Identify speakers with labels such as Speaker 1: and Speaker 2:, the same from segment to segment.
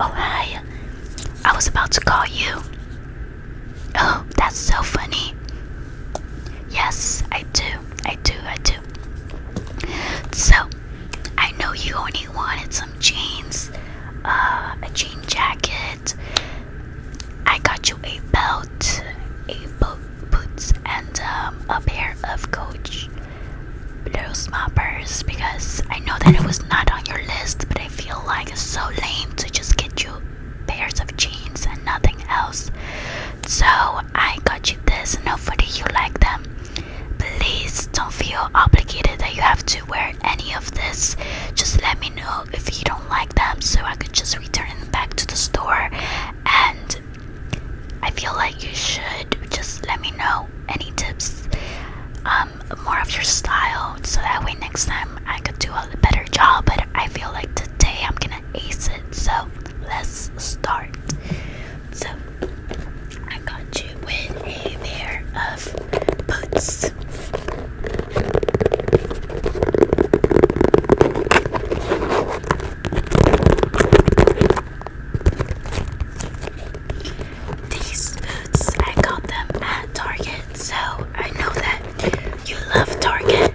Speaker 1: Oh, hi. I was about to call you. Oh, that's so funny. Yes, I do. I do. I do. So, I know you only wanted some jeans, uh, a jean jacket. I got you a belt, a boat, boots, and um, a pair of Coach Loose Moppers because I know that it was not on your list, but I feel like it's so lame to just get you pairs of jeans and nothing else. So I got you this, and hopefully you like them. Please don't feel obligated that you have to wear any of this. Just let me know if you don't like them so I could just return them back to the store. And I feel like you should just let me know any tips um, more of your style so that way next time I could do a better job but I feel like today I'm gonna ace it so let's start so I got you with a pair of boots these boots, I got them at Target, so I know that you love Target.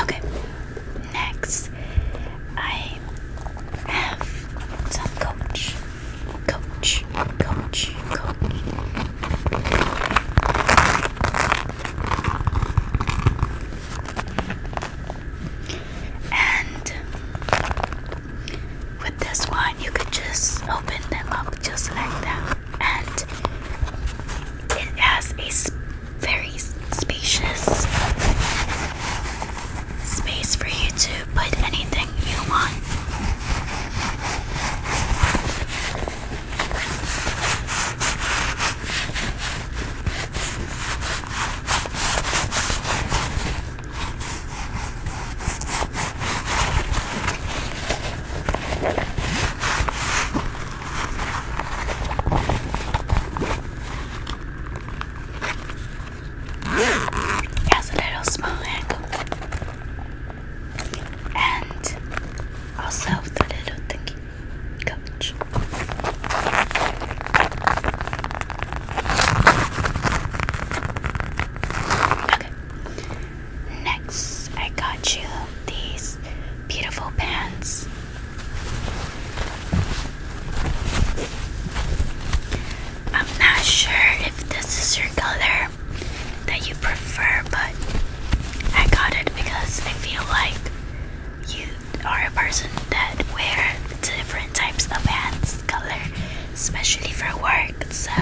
Speaker 1: Okay, next I have coach, coach, coach, coach. And with this one, you could just open them up just like that and it has a very spacious space for you to put anything you want has a little small angle, and also a little thingy coach. Okay, Next, I got you these beautiful pants. I'm not sure if this is your color that you prefer, but I got it because I feel like you are a person that wear different types of pants color, especially for work. So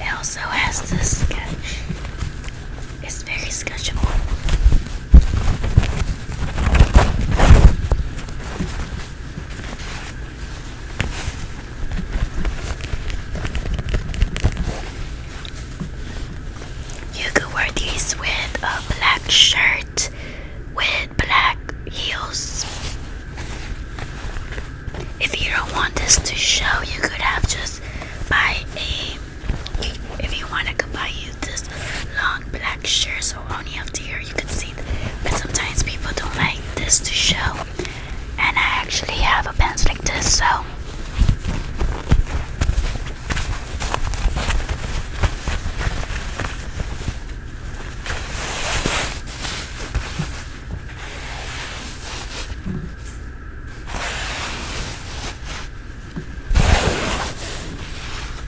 Speaker 1: it also has the sketch. It's very sketchable. You could wear these with a black shirt with black heels. If you don't want this to show, you could have just buy a. If you want, to could buy you this long black shirt so only have to your you can see But sometimes people don't like this to show. And I actually have a pencil like this, so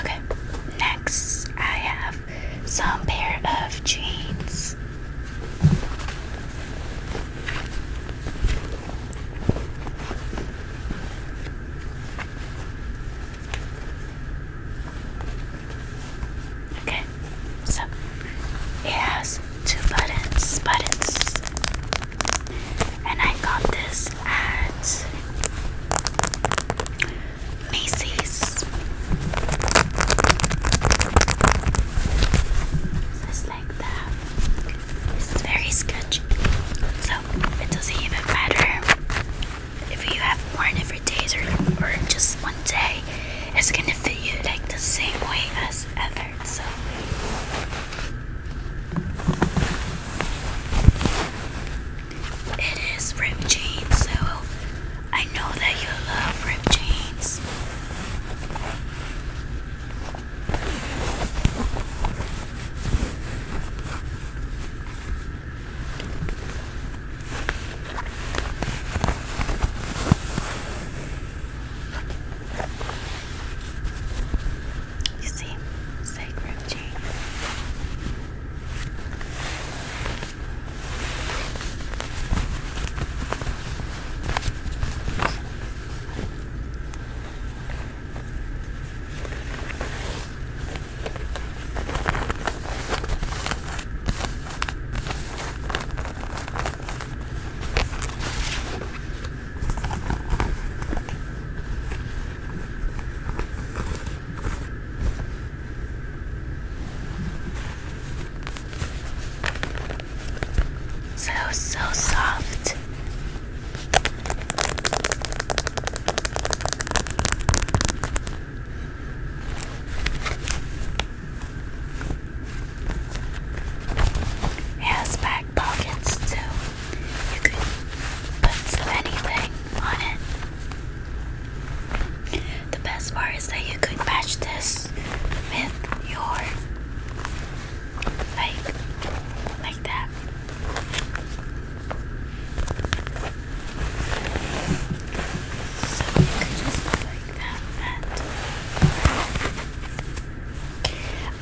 Speaker 1: Okay, next I have some pair of jeans. Okay, so it has two buttons, buttons. And I got this at Macy's. Just like that. This is very sketchy. So it doesn't even matter if you have worn it for days or just one day. It's gonna fit you like the same way as ever it is ripped jeans, so I know that you love ripped jeans. You see, sacred genius. So, so soft. has back pockets too. You could put anything on it. The best part is that you could match this with your like like that. So you could just go like that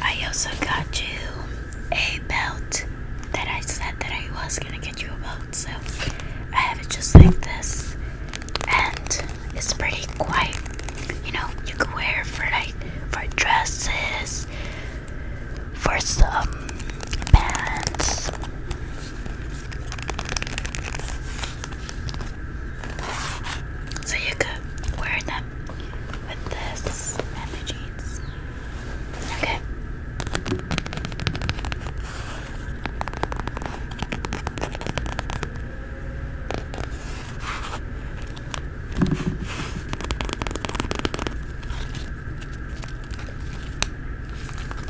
Speaker 1: I also got you a belt that I said that I was gonna get you a belt, so I have it just like this, and it's pretty quiet. You know, you could wear it for like for dresses, for some pants. So you could wear that with this and the jeans. Okay.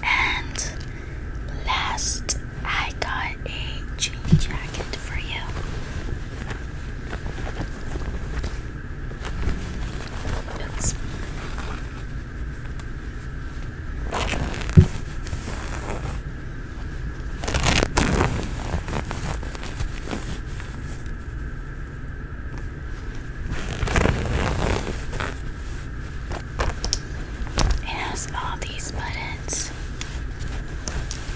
Speaker 1: And last, I got a jean jacket for you. It has all these buttons.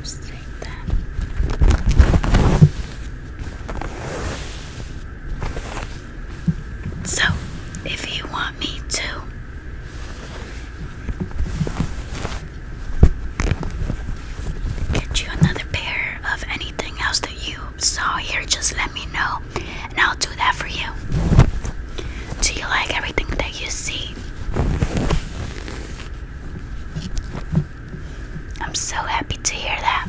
Speaker 1: Just like that. So, if you want me to get you another pair of anything else that you saw here, just let me know and I'll do that for you. Do you like everything that you see? I'm so happy to hear that.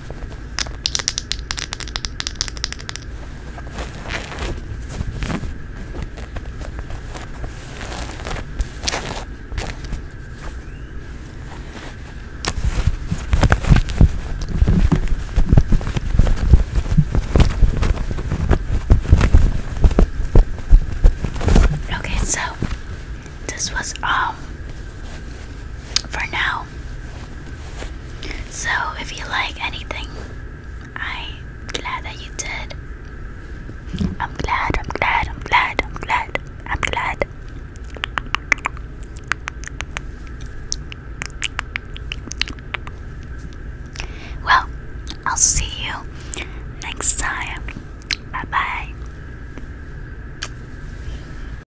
Speaker 1: Okay, so this was um for now. So, if you like anything, I'm glad that you did. I'm glad, I'm glad, I'm glad, I'm glad, I'm glad. Well, I'll see you next time. Bye bye.